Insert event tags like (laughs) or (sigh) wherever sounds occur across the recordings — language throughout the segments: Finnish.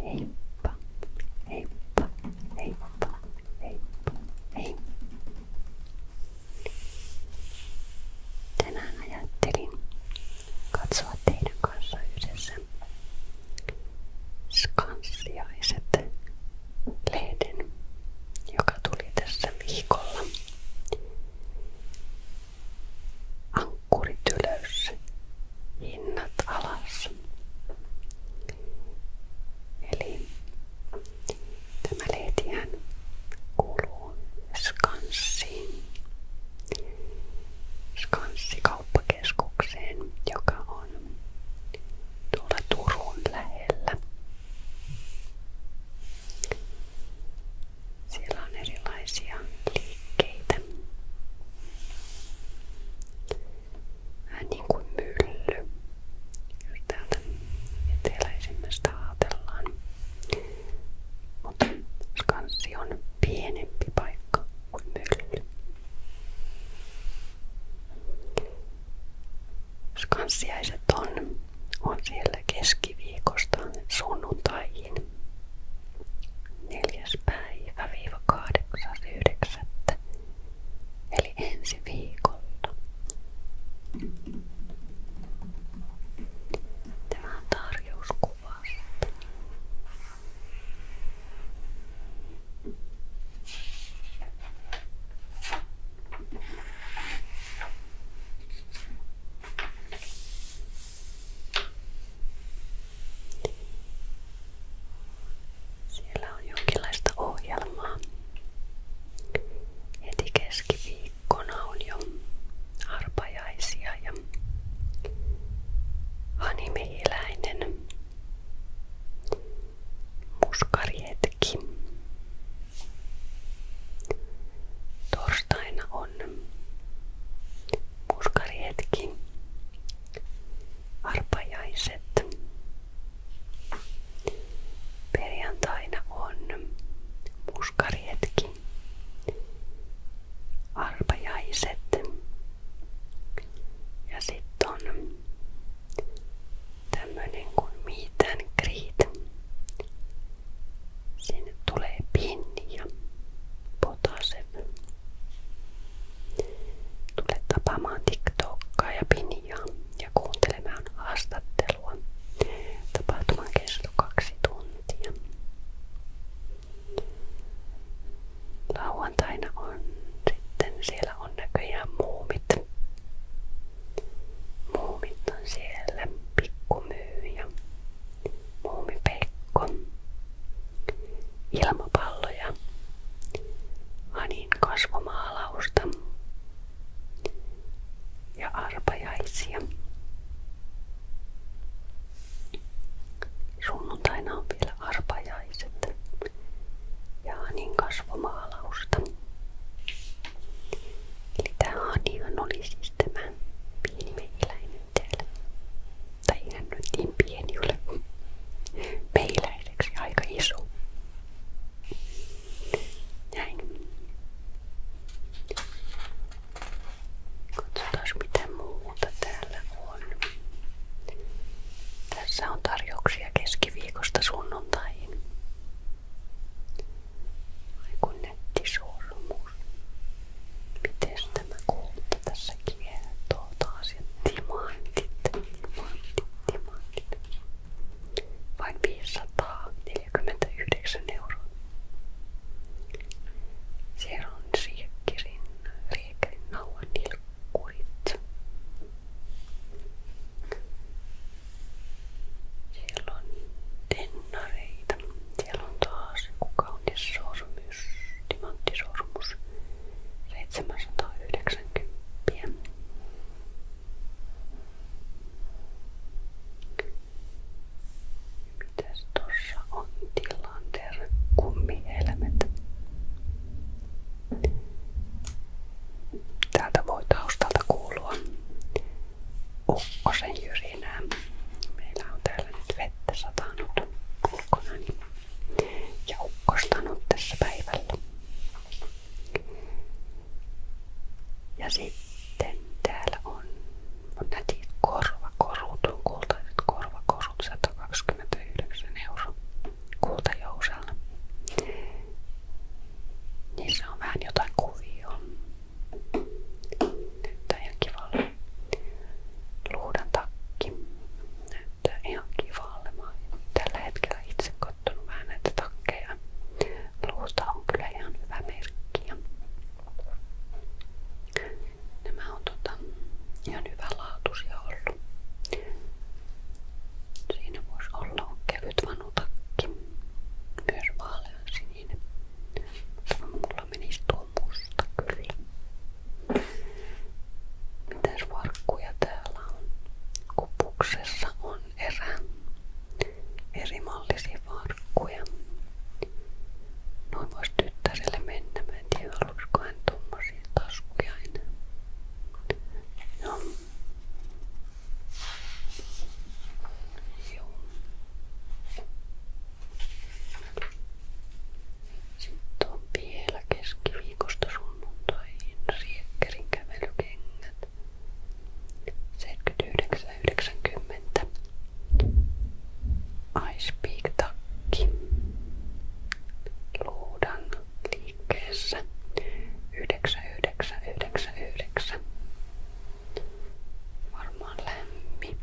Heippa, heippa, heippa, heippa, hei. Tänään ajattelin katsoa teidän kanssa yhdessä skansiaiset lehden, joka tuli tässä viikolla. Ankkurit ylös, hinnat alas. Eli tämä lehtihän kuuluu Skanssiin. Skanssikauppakeskukseen, joka on tuolla Turun lähellä. Siellä on erilaisia liikkeitä. Vähän niin kuin mylly, jos täältä eteläisimmästä ajatellaan. Mutta skanssi on pienempi paikka kuin mylly. Skanssiaiset on, on siellä keskiviikosta sunnuntaihin neljäs päivä viiva kahdeksas yhdeksättä eli ensi viikolla. Tämä on tarjous kuvasta. Siellä on jonkinlaista ohjelmaa. Heti keskiviikkona on jo arpajaisia ja Hani Mehiläinen, muskarihetki. Torstaina on puskarihetki, arpajaiset. Perjantaina on puskarihetki, arpajaiset ja sitten on tämmönen kuin mitään kriit. Sinne tulee pinni ja Potasev. Tule tapaamaan TikTokkaa ja Piniaa ja kuuntelemaan haastattelua. Tapahtuman kesto kaksi tuntia. Lauantaina on sitten siellä on näköjään muumit. Muumit on siellä pikkumyyjä. Muumipeikko, ilmapalloja, Hanin kasvomaalausta ja arpajaisia. Sunnuntaina on vielä arpajaiset ja Hanin kasvomaalausta. Eli tämä Hanihan oli siis tämä pieni mehiläinen itselle. Tai ihan nyt niin aika iso. Näin. Katsotaan mitä muuta täällä on. Tässä on tarjouksia keskiviikosta sunnuntaihin. Ai kun nettisormus. Miten tämä kulta tässä kiehtoo taas ja timantit, timantit, timantit. Vain 549 euroa. Siellä on siekkirin, riekkerin nauhan nilkkurit. Siellä on tennareita. Siellä on taas kuka on sormus, timanttisormus 790. Mitäs tossa on tilanteer kummihelmet? Täältä voi taustalta kuulua ukkosen jyrinä enää. Meillä on täällä nyt vettä satanut ulkona niin- ja ukkostanut tässä päivällä. Ja sitten täällä on, on nätit korvakorut, on kultaiset korvakorut 129 euroa kultajousella. Niissä on vähän jotain kuvia. Näyttää ihan kivalle. takki näyttää ihan kivalle. Mä oon tällä hetkellä itse kattonut vähän näitä takkeja. Luusta on kyllä ihan hyvä merkki. Nämä on tota Siinä voisi olla kevyt Myös vaalean sininen. Mutta tuntuu musta kyllä. Mitäs varkkuja täällä on? Kupuksessa on erä eri mallisia varkkuja. Noin voisi tyttärelle mennä. Mä en tiedä, haluaisiko hän tommosia taskuja enää. No. Joo. Sitten on vielä keskiviikosta sunnuntaihin riekkerin kävelykengät. 79,90. Ice Peak takki. Luudan liikkeessä 9999 varmaan lämmin.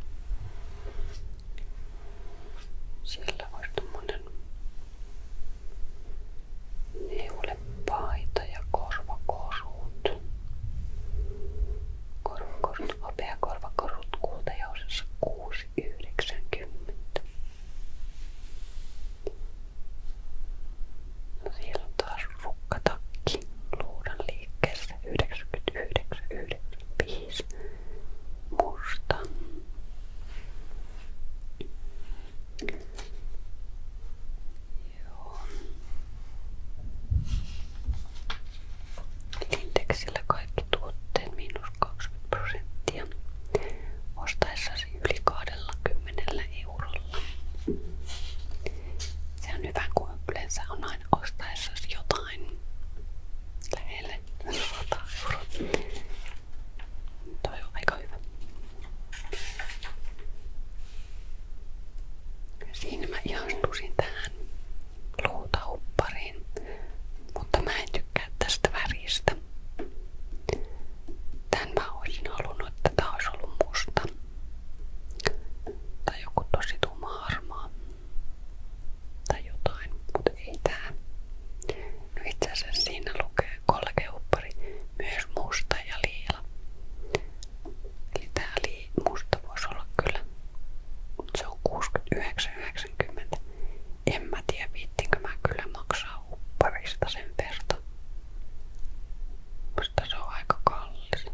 Siellä olisi tommonen neulepaita ja korvakorut. Korvakorut, opea korvakorut kultajousessa 6,90. No siellä on taas ruokaa. Tukkatakki luudan liikkeessä 99,95 musta. Joo. Indeksillä kaikki tuotteet miinus 20 prosenttia ostaessasi yli 20 eurolla. Se on hyvä, kun yleensä on aina ostaessa jotain lähelle 100 euroa. Toi on aika hyvä. Siinä mä ihastusin tähän luutahuppariin, mutta mä en tykkää tästä väristä. Tän mä olisin halunnut, että tää olisi ollut musta. Tai joku mutta ei No itse asiassa siinä lukee kolkeuppari, myös musta ja liila. Eli tää voisi olla kyllä. Se on 69,90. En mä tiedä viittinkö mä kyllä maksaa upparista sen verta. Musta se on aika kallis.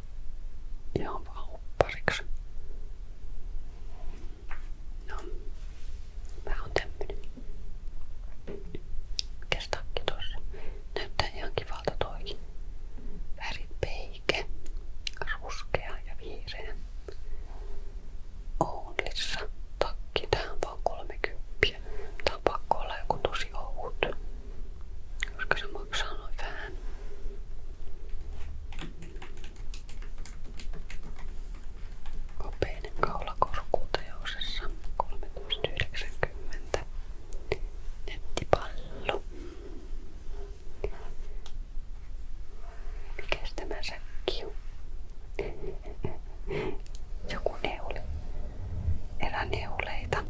Ja huppariksi. No, mä oon tämmönen. Mikäs takki tossa? Näyttää ihan kivalta toikin. Väripeike. Ruskea ja vihreä. Oulissa takki. Tää on vaan 30. Tää on pakko olla joku tosi ohut koska se maksaa noin vähän. Kopeinen kaulakorku teosessa 3,90. Nettipallo. Mikäs tämä säkki on? Joku neule. Eräneuleita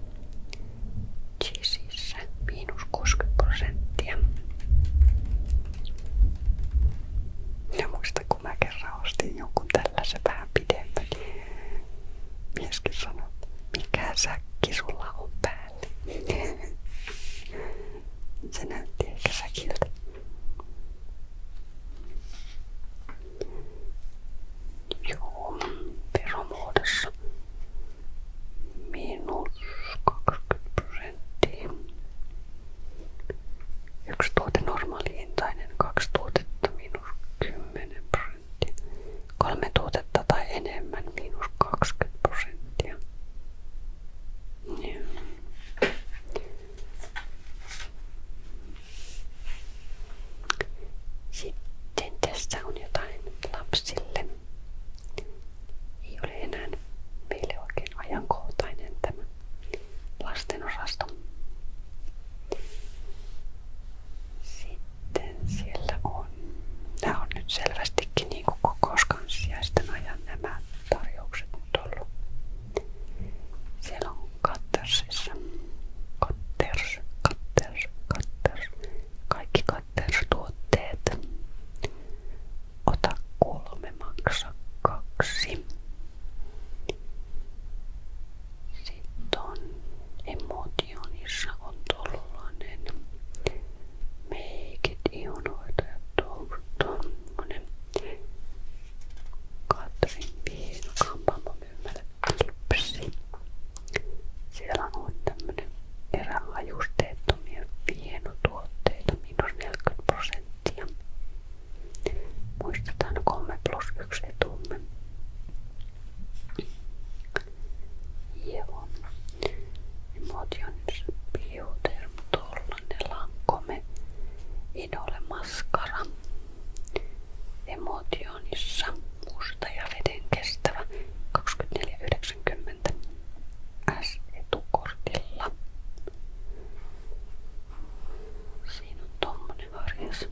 cheesissä miinus 60 prosenttia. Ja muista kun mä kerran ostin jonkun tällaisen vähän pidemmän. Niin mieskin sanoi, mikä säkki sulla on päällä. (laughs) Se näytti ehkä säkiltä. Joo, veromuodossa miinus 20 prosenttia. Yksi tuote normaalihintainen, kaksi tuotetta miinus 10 prosenttia, kolme tuotetta tai enemmän miinus 20 prosenttia. Ja. Sitten tässä on jotain lapsille. Ei ole enää meille oikein ajankohtainen tämä lasten osasto. Sitten siellä on, nämä on nyt selvästikin niin kuin kokouskanssiaisten ajan nämä tarjoukset nyt ollut. Siellä on Kattersissa, Katters, Katters, Katters, kaikki Waters-tuotteet. Ota kolme, maksa kaksi. Sitten on emotionissa on tollanen meikit ihonoita tuommoinen Katrin Viino kampaamomyymällä klipsi. Siellä on ollut tämmönen erälajusteettomia vienotuotteita, miinus 40 prosenttia. Muistetaan 3 plus 1 etumme. Joo. Emotions Bioderm, tollanen lankome. Idole maskara. Emotionissa musta ja veden kestävä 24,90 S-etukortilla. Siinä on tommonen harjas.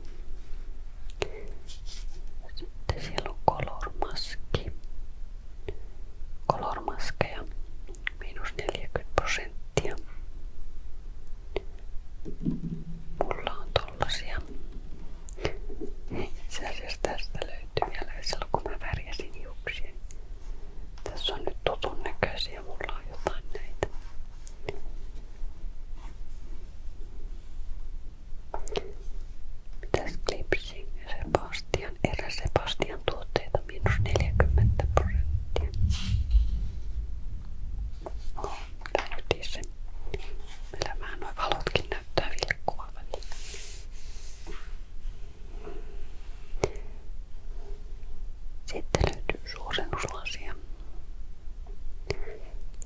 Sitten siellä on kolormaski. Kolormaskeja miinus 40 prosenttia. Mulla on tollasia itse asiassa tästä löytyy vielä yksi kun mä värjäsin hiuksia. Tässä on nyt tutun näköisiä, mulla on jotain näitä. Mitäs Clipsing Sebastian, erä Sebastian tuotteita miinus 40 prosenttia. Oh, tää se. Meillä vähän noin valotkin näyttää vilkkua välillä. Sitten löytyy suurennuslasia.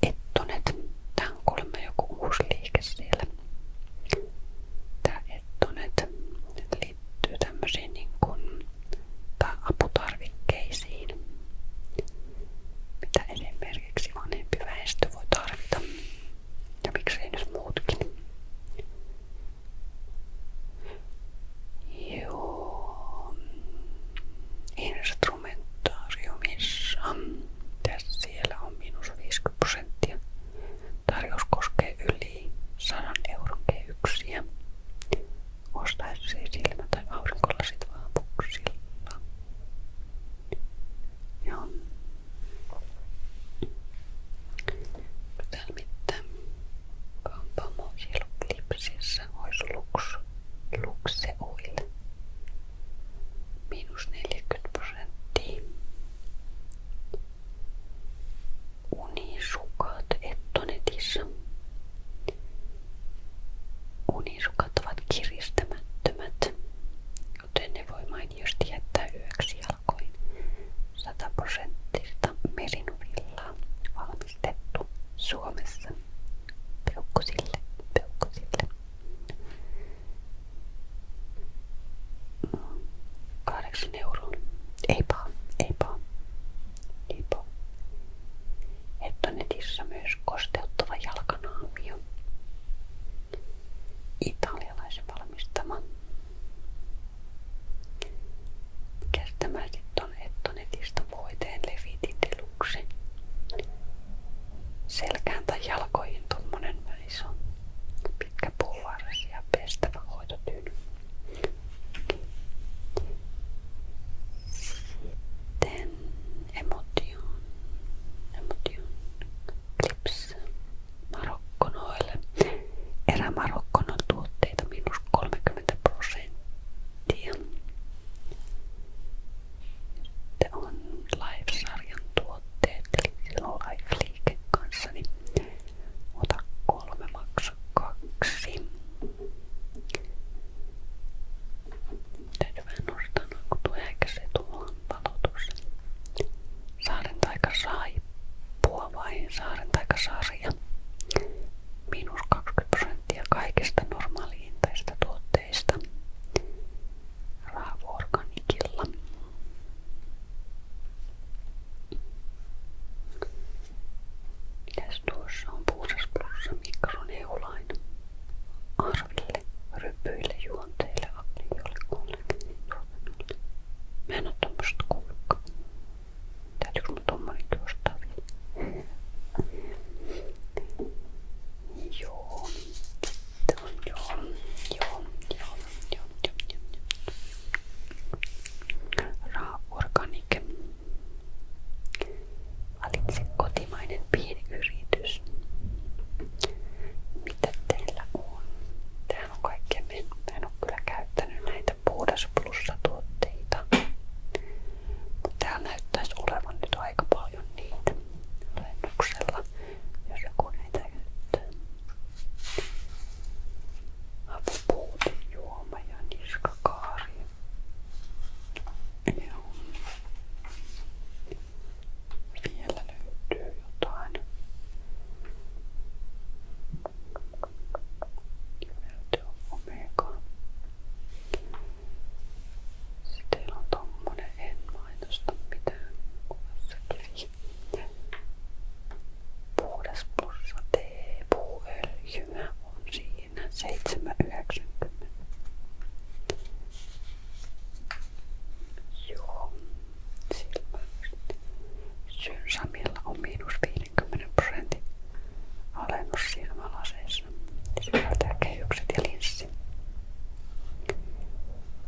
Ettonet. Tää on kolme joku uusi liike siellä. Tää ettonet liittyy tämmöisiin niin kuin, tai aputarvikkeisiin. Mitä enemmän esimerkiksi vanhempi väestö voi tarvita ja miksei nyt muutkin. Joo. Instrumentaariumissa. Tässä siellä on miinus 50 prosenttia. Tarjous koskee yli 100 euron kehyksiä. Ostaisi silmä- tai aurinkolasit vaan puksilla. Joo. Täällä mitään. Kampamo Hilklipsissä olisi luks, lukse oil. Miinus 40 prosenttia. Unisukat ettonetissa unisukat ovat kiristämättömät, joten ne voi mainiosti jättää yöksi jalkoin. 100 prosenttista merinuvillaa valmistettu Suomessa. Peukkusille, peukkusille. 8 euroa. Ei paha, ei paha. Ei paha. Ettonetissä myös kosteuttava jalkanaamio italialaisen valmistama. Mikäs tämä sitten on Ettonetista voiteen Levitin Deluxe? Selkään tai jalkoihin tuommoinen iso pitkä pullarsi ja pestävä hoitotyyny. Sitten Emotion, emotion, clips Marokkonoille. Erä Marokkonon tuotteita miinus 30 prosenttia. Sitten on Live-sarjan tuotteet, eli silloin Live-liike kanssa, niin ota kolme, maksa kaksi. Täytyy vähän nostaa noin, kun tuo äkäsi tuohon palotus. Saaren taika saippua vai prosenttia kaikista normaaliintaisista tuotteista. Raavoorganikilla. Mitäs tuossa on puusas plussa mikroneulain? kielelle, ryppyille, juonteille, apniolle, kollekin, tuotannolle. Niin Mä en oo tommoset kuullutkaan. Täytyykö mun tommonenkin ostaa vielä? Joo. Sitten on joo. Joo. Joo. Joo. Joo. Joo. Raha organic. Valitse kotimainen pieni yritys. Mitä teillä on? Tähän on kaikkea. Mä en ole kyllä käyttänyt näitä puhdas plussa tuotteita. Mutta täällä näyttäisi olevan nyt aika paljon niitä lennuksella, jos joku näitä käyttää. Apupuuti, juoma ja niskakaari. Joo. Vielä löytyy jotain. Löytyy omega. Sitten teillä on tommonen, en mainosta mitään kuvassakin. Puhdas plussa teepuuöljyä on siinä 7,90. Joo, silmä. Syyn Samilla on miinus 50 prosentin alennus silmälaseissa. Sisältää kehykset ja linssi.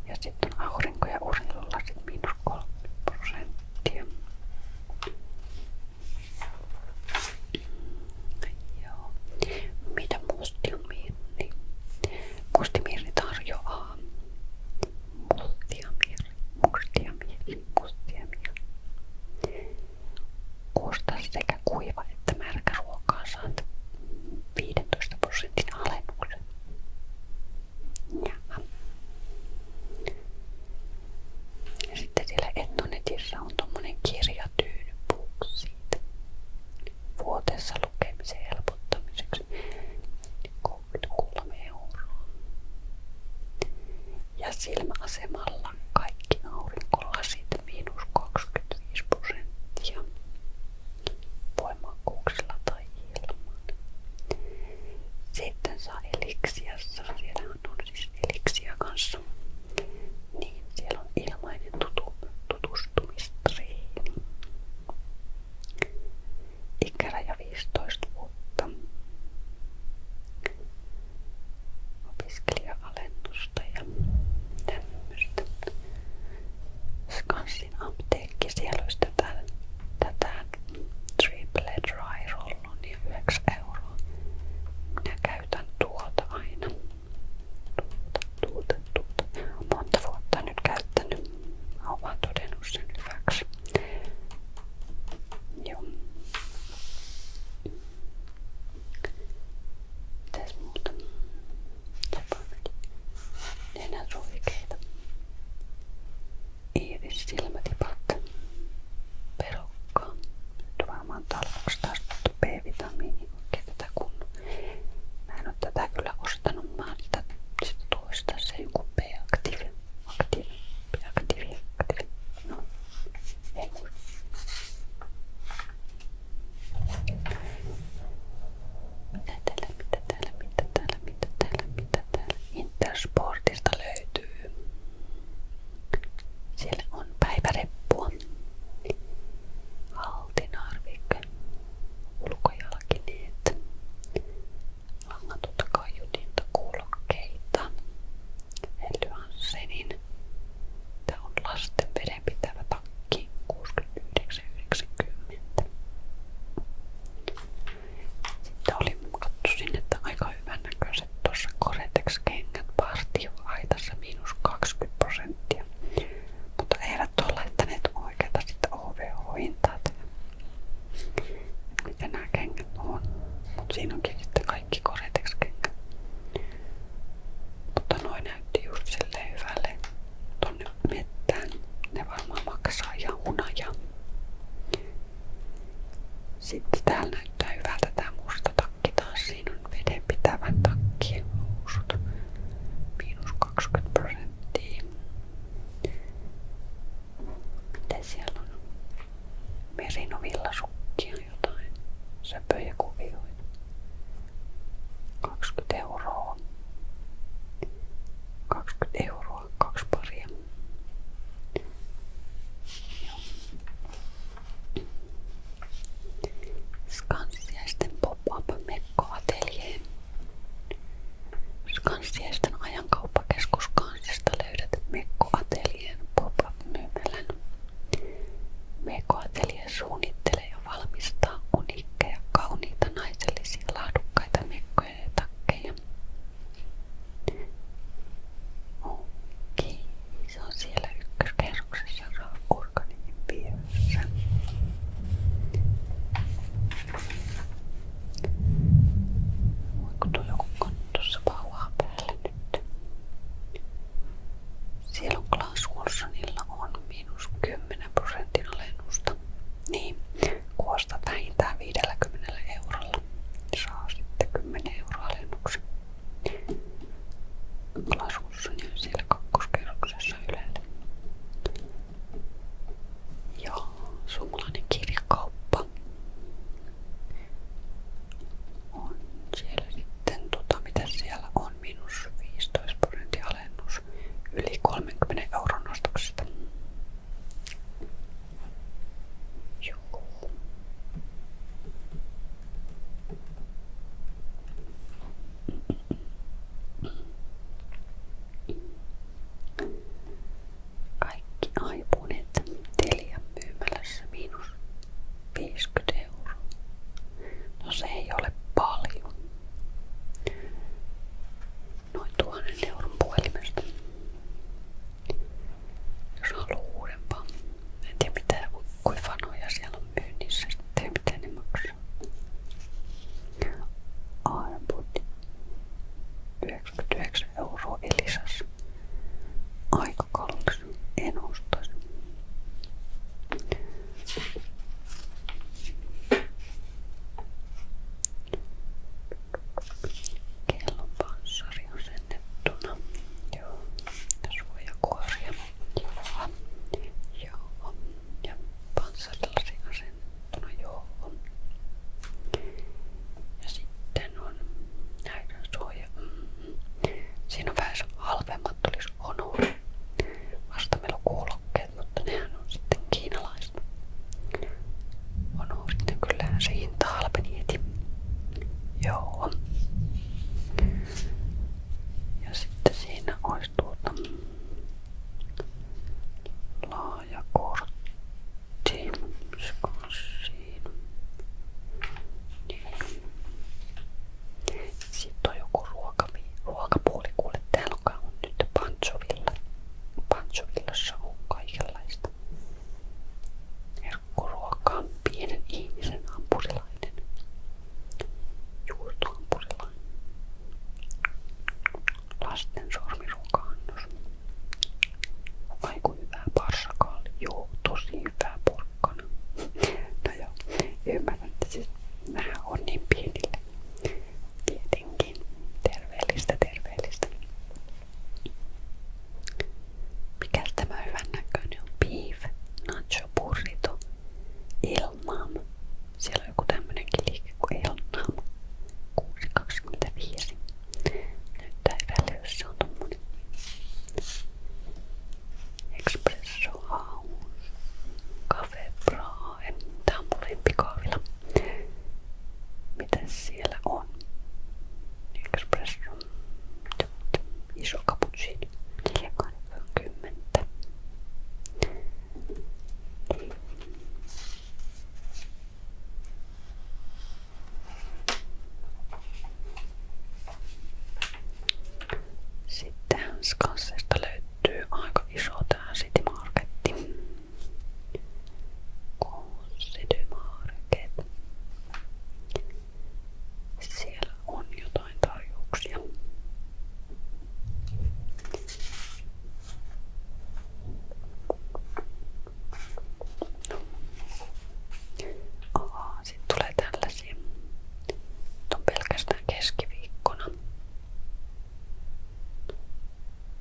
Ja sitten on aurinko- ja urillasit miinus 3 prosenttia. Joo. Mitä musti mirni? Niin musti mirni tarjoaa mustia mirni, mustia mirni, mustia mirni. Osta kuiva että märkä ruokaa saat 15 prosentin alennuksen. Jaha. Sitten siellä Etnonetissä on tommonen kirja ja tyydy puhuksi siitä. Vuoteessa lukemisen helpottamiseksi 33 euroa. Ja silmäasemalla aurinkolasit miinus 25 prosenttia Sitten saa eliksiassa, siellä on siis eliksiä kanssa niin, siellä on ilmainen tutu, tutustumistreeni. Ikäraja 15 vuotta. Opiskelija-alennusta ja tämmöistä. Skansin apteekki, siellä olisi tätä, tätä triple dry rollon ja 9 euroa. Minä käytän tuota aina tuota, tuota, monta vuotta nyt käyttänyt. Mä oon todennut sen hyväksi. Joo. Mitäs muuta? Nenän suikeita. Iiris silmätipat. Perukka. Nyt varmaan tarvitsen taas tuosta B-vitamiinia oikein tätä kun mä en oo tätä kyllä ostanut maalta sit toista se joku B-aktiivi aktiivi, B-aktiivi, aktiivi no ei mitä täällä, mitä täällä, mitä täällä, mitä täällä, mitä täällä Intersportista löytyy siellä on päiväreppua, haltinarvike, ulkojalkineet, langatut kaiutintakuulokkeita, Elyanssenin. Tää on lasten vedenpitävä takki 69,90. Sitten oli katsoin, että aika hyvän näköiset tuossa Koretex-kengät partioaitassa miinus 20% mutta eivät ole laittaneet oikeata sitä OVO-hintaa. Mitä nämä kengät sitten kaikki koretex Mutta noin näytti just silleen hyvälle. ne varmaan maksaa ihan Sitten täällä näyttää hyvältä tää musta takki taas, siinä on vedenpitävä takki, housut, miinus 20 prosenttia. Miten siellä on? Merinovillasukkia jotain, söpöjä kuvioita. 20 euroa. 20 euroa, kaksi paria. Joo. Skansiaisten pop-up mekkoateljeen. Skansiaisten ajankauppakeskus Kansista löydät mekkoateljeen pop-up myymälän. Mekkoatelje suunnittelee ja valmistaa uniikkeja, kauniita, naisellisia, laadukkaita mekkoja ja takkeja. Okei. Okay. Se on siellä ykköskerroksessa joku kannu tuossa pauhaa päällä on Klaas Wilsonilla on miinus 10 prosentin alennusta. Niin, kuosta vähintään Saa sitten 10 euroa alennuksen lasussa niin siellä kakkoskerroksessa ylellä. Ja suomalainen kirjakauppa on siellä sitten, tota, mitä siellä on, minus 15 prosentin alennus yli 30 euron ostoksesta. Joo. Kaikki aipuneet Telian myymälässä miinus 50 euroa. No se ei ole paljon. Noin tuhannen euron puhelimesta. Jos haluaa uudempaa. En tiedä mitä Kui vanoja siellä on myynnissä, sitten mitä ne niin maksaa? Arvot 99 euroa Elisassa. Aika kallis. En ostaisi. Kellon panssari on se asennettuna. Joo. Ja suojakuoria. Joo. Joo. Ja panssarillasi asennettuna. Joo. Ja sitten on näiden suoja. Mm. Siinä on vähän halvemmat tulisi Honor. Vasta meillä on kuulokkeet, mutta nehän on sitten kiinalaiset. Honor sitten kyllähän se hinta halpeni heti. Joo. Mm. Ja sitten siinä olisi tuota laaja kortti. Siinä. Niin. Sitten on joku ruokavi, ruokapuoli kuule. Täällä on nyt Pantsovilla. Pantsovillassa on kaikenlaista herkkuruokaa on pienen ihmisen hampurilainen. Juustohampurilainen. Lasten sormiruoka-annos. Aiku hyvää parsakaali. Joo, tosi hyvää porkkana. No joo, ymmärrän, että siis nämä on niin pienille. Tietenkin. Terveellistä, terveellistä. Mikäs tämä hyvän näköinen on? nacho burrito, elnam. Siellä on joku tämmönenkin liike kuin elnam. 6.25. Näyttää hyvälle, jos se on tommonen. Espresso House. Cafe on mun lempikahvila. Mitäs siellä on? Espresso iso kaputsiini. 80. Sitten Hanskansesta löytyy aika iso tää City Marketti. City Market. Siellä on jotain tarjouksia. No. Aha, sitten tulee tällaisia. Nyt on pelkästään keskiviikkona.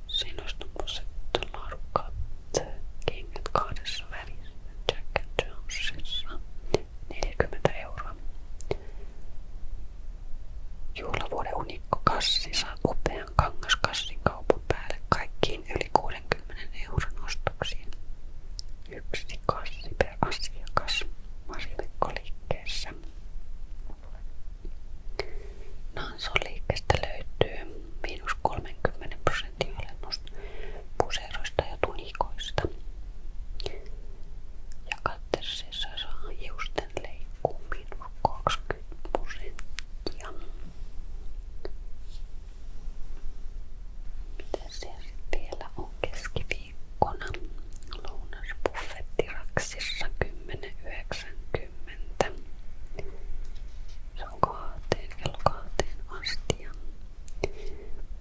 Siinä olisi tommoset laadukkaat kengät kahdessa välissä Jack Jonesissa 40 euroa. Juhlavuoden unikko kassi saa upean kangaskassin kaupan päälle kaikkiin yli 60 euron ostoksiin. Yksi kassi per asiakas Marjolikkoliikkeessä. Nanson liikkeestä löytyy miinus 30 prosenttia olen musta puseroista ja tunikoista. Ja katteessa saa hiusten leikkuu minus 20 prosenttia. Mitä siellä sitten vielä on keskiviikkona? Lounasbuffetti Raksissa 10.90. Se on kahteen kello kahteen asti ja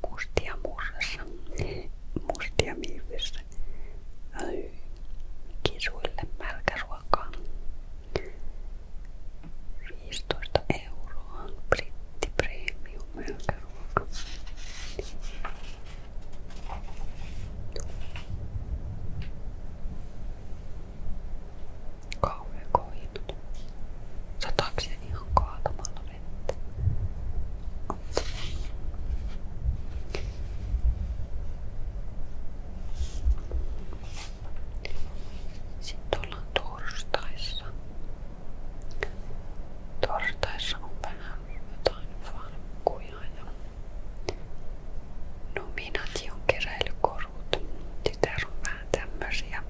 mustia murrassa, mustia miivissä, öö, kisuille märkäruokaa. 15 euroa britti premium märkäruoka. Kauhean koitu. Satakseen ihan kaatamalla vettä. Sitten ollaan torstaissa. Torstaissa on vähän jotain farkkuja ja nominaation keräilykorut. Tytär on vähän tämmösiä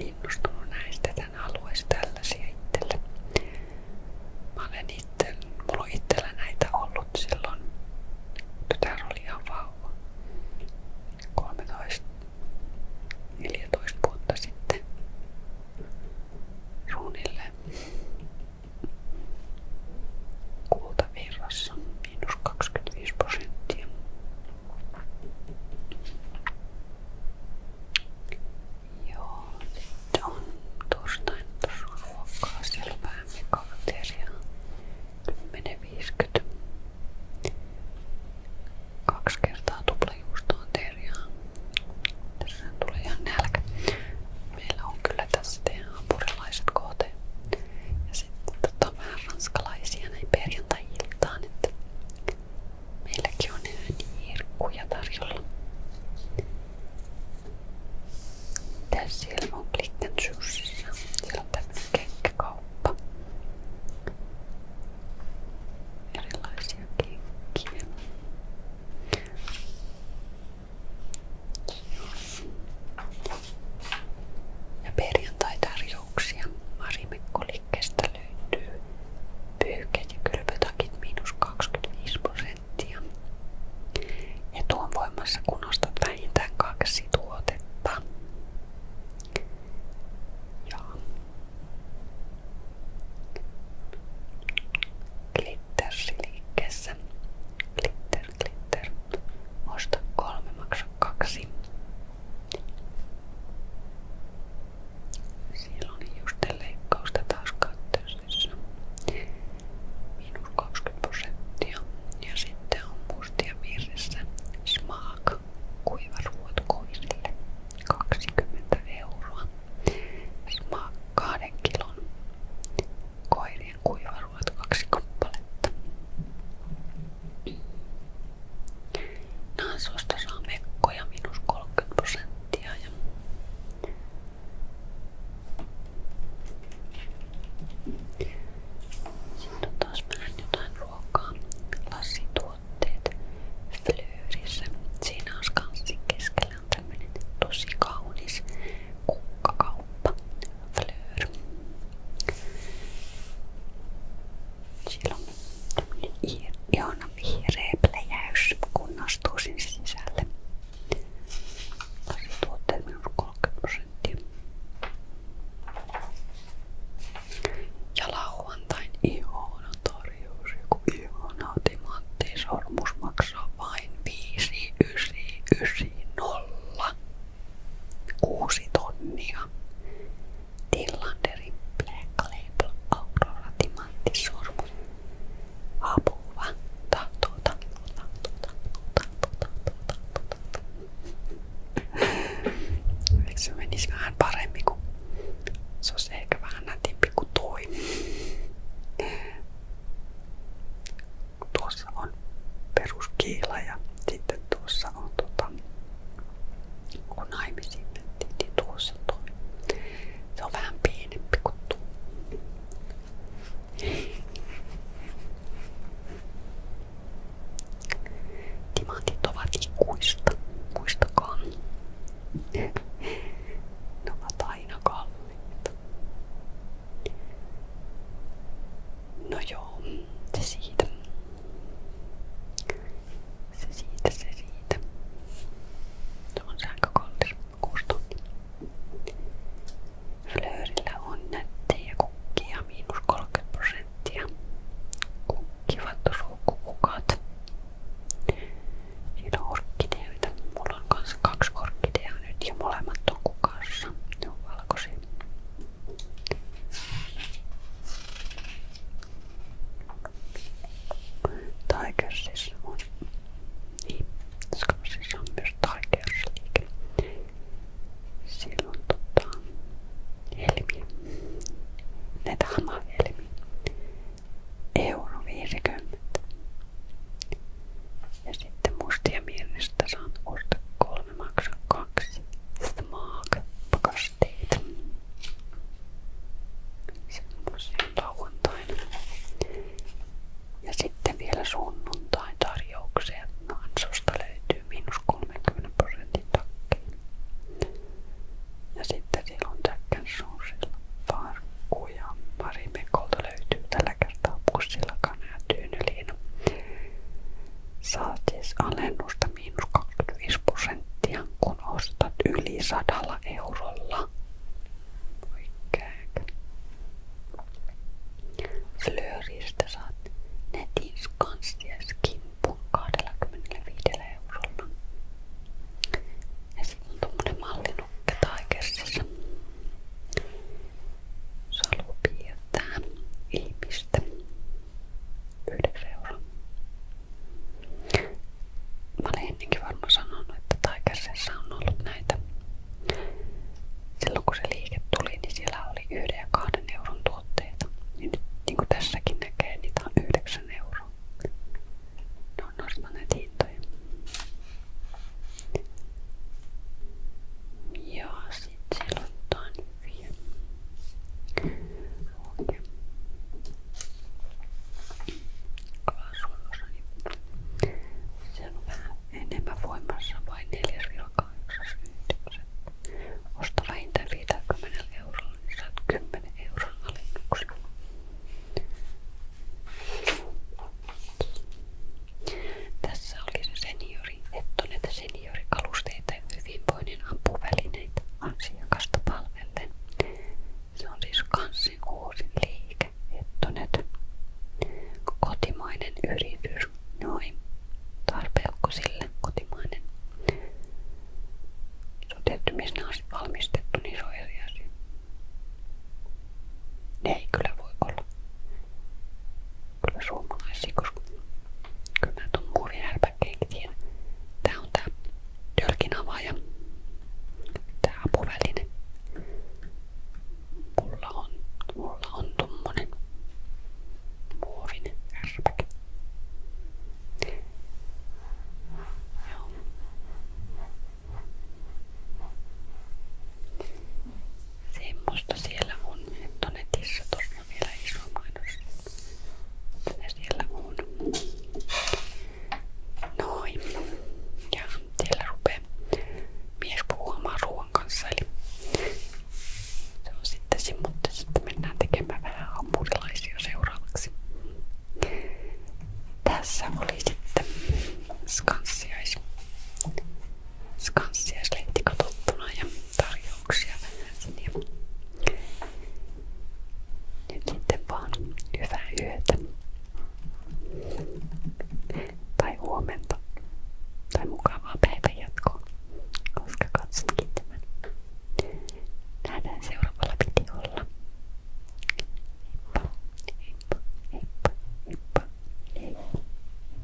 innostunut näistä, tän haluaisi tällaisia itselle. Mä olen itse, mulla on itsellä näitä ollut silloin, tytär oli ihan vauva, 13, 14 vuotta sitten ruunille kultavirrassa miinus 25 prosenttia Joo, sitten on torstain ruokaa selvää mekateriaa. 10.50. Kaksi kertaa tuplajuustoa terjaa. Tässä tulee ihan nälkä. Meillä on kyllä tässä teidän hampurilaiset kohteen. Ja sitten tota, vähän ranskalaisia näin perjantai-iltaan, että meilläkin on ääniirkkuja tarjolla. Mitäs siellä on Klikkensuussissa? Siellä on tämmönen kenkäkauppa. Erilaisia kenkiä. Ja perjantai tarjoaa tarjouksia. Marimekko-liikkeestä löytyy pyyhkeet ja kylpytakit miinus 25 prosenttia. Ja tuon voimassa kun ostat vähintään kaksi tuotetta. Ja Glittersiliikkeessä. Glitter, glitter. Osta kolme, maksa kaksi. Siellä oli just leikkausta taas katteisessa. Miinus 20 prosenttia. Ja sitten on mustia virressä Smaak kuivaruot koirille 20 euroa. Smaak 2 kilon koirien kuivaruot kaksi kappaletta. Naisuista saa mekkoja minus 30 prosenttia ja sitten on taas vähän jotain ruokaa, lasituotteet, flyyrissä. Siinä on skanssin keskellä on tämmönen tosi kaunis kukkakauppa fleur. Siellä on ihana vihreä pläjäys, kun astuu sinne sisälle. Tässä tuotteet minus 30 prosenttia. Ja lauantain ihana tarjous, joku ihana timanttisormus maksaa vain 5990 kuusi tonnia. Tillanderi Black Label Aurora Timantti Sormus. Apua. Tahtoo, tahtoo, tahtoo, tahtoo, tahtoo, tahtoo, tahtoo, tahtoo. Eikö se menisi vähän paremmin, kun se olisi ehkä vähän nätimpi kuin toi. Tuossa on peruskiila ja sitten tuossa on tota, kun naimisiin mentiin, niin tuossa toi. Se on vähän pienempi kuin tuo. Timantit ovat ikuista, muistakaa. Ne aina kalliita. No joo, se siitä. Se siitä, se siitä. Se on sähkökollis, kuusi tuntia. Flöörillä on nättejä kukkia, miinus 30 prosenttia. Kukkivat suukkukukat. Siinä on orkkideoita. Mulla on kanssa kaksi orkkideaa nyt ja molemmat on kukassa. Ne on valkoisia. Tigers siis on, niin, Skansissa on myös Tigers-liike. Siellä on tota, Ja sitten mustia mielestä saan ostaa 3 Suomi maksaa kaksi Smaak-pakasteita. Se on tosiaan lauantaina. Ja sitten vielä sunnuntain tarjoukseen. Ansosta löytyy miinus 30 prosentin takkiin. Ja sitten siellä on Jack Sousilla farkku ja Mari Mekolta löytyy tällä kertaa pussilla kana ja tyyneliina. Saat siis alennusta miinus 25 prosenttia, kun ostat yli 100 eurolla. Oikein. Flööristä saat netin skansia skimpun 25 eurolla. Ja sitten on tommonen mallinukke taikessissa salu piirtää ihmistä 9 euroa. Mä olin ennenkin varmaan sanonut, että Tigersissa on ollut näitä. Silloin kun se liike tuli, niin siellä oli 1 ja 2 euron tuotteita. Ja nyt niin kuin tässäkin näkee, niitä on 9 euroa. Ne on nostaneet hintoja. Ja sitten selottaa nyt vielä auki kaasuosa, niin se on vähän enemmän voimassa, vain 4,89. Osta vähintään 50 eurolla, niin saat 10 euron alennuksen. Tässä oli se senior seniori, ettonet seniorikalusteita ja hyvinvoinnin ampuvälineitä asiakasta palvellen. Se on siis kanssin uusin liike, ettonet. Kotimainen yritys, noin. Tarpeukko sille kotimainen. Se on tietty, missä ne on valmistettu, niin se on eri asia. Ne ei kyllä voi olla kyllä suomalaisia, koska kyllä mä tuon muovinälpäkkeenkin tiedän. Tää on tää tölkin avaaja, tää apuväline. Mulla on, mulla on tommonen muovinen härpäke. Joo. Semmosta siellä on, että netissä tuossa on vielä iso mainos. Ne siellä on. Noin. Ja siellä rupeaa mies puhumaan ruoan kanssa. Eli se on sitten se, mutta sitten mennään tekemään vähän hampurilaisia seuraavaksi. Tässä oli sitten skanssiais skanssia sleitti katsottuna ja tarjouksia vähäsen. Ja nyt sitten vaan hyvää yötä. Tai huomenta. Tai mukavaa päivän jatkoa. Koska katsotkin tämän. Nähdään seuraavalla videolla. Heippa, heippa, heippa, heippa, heippa.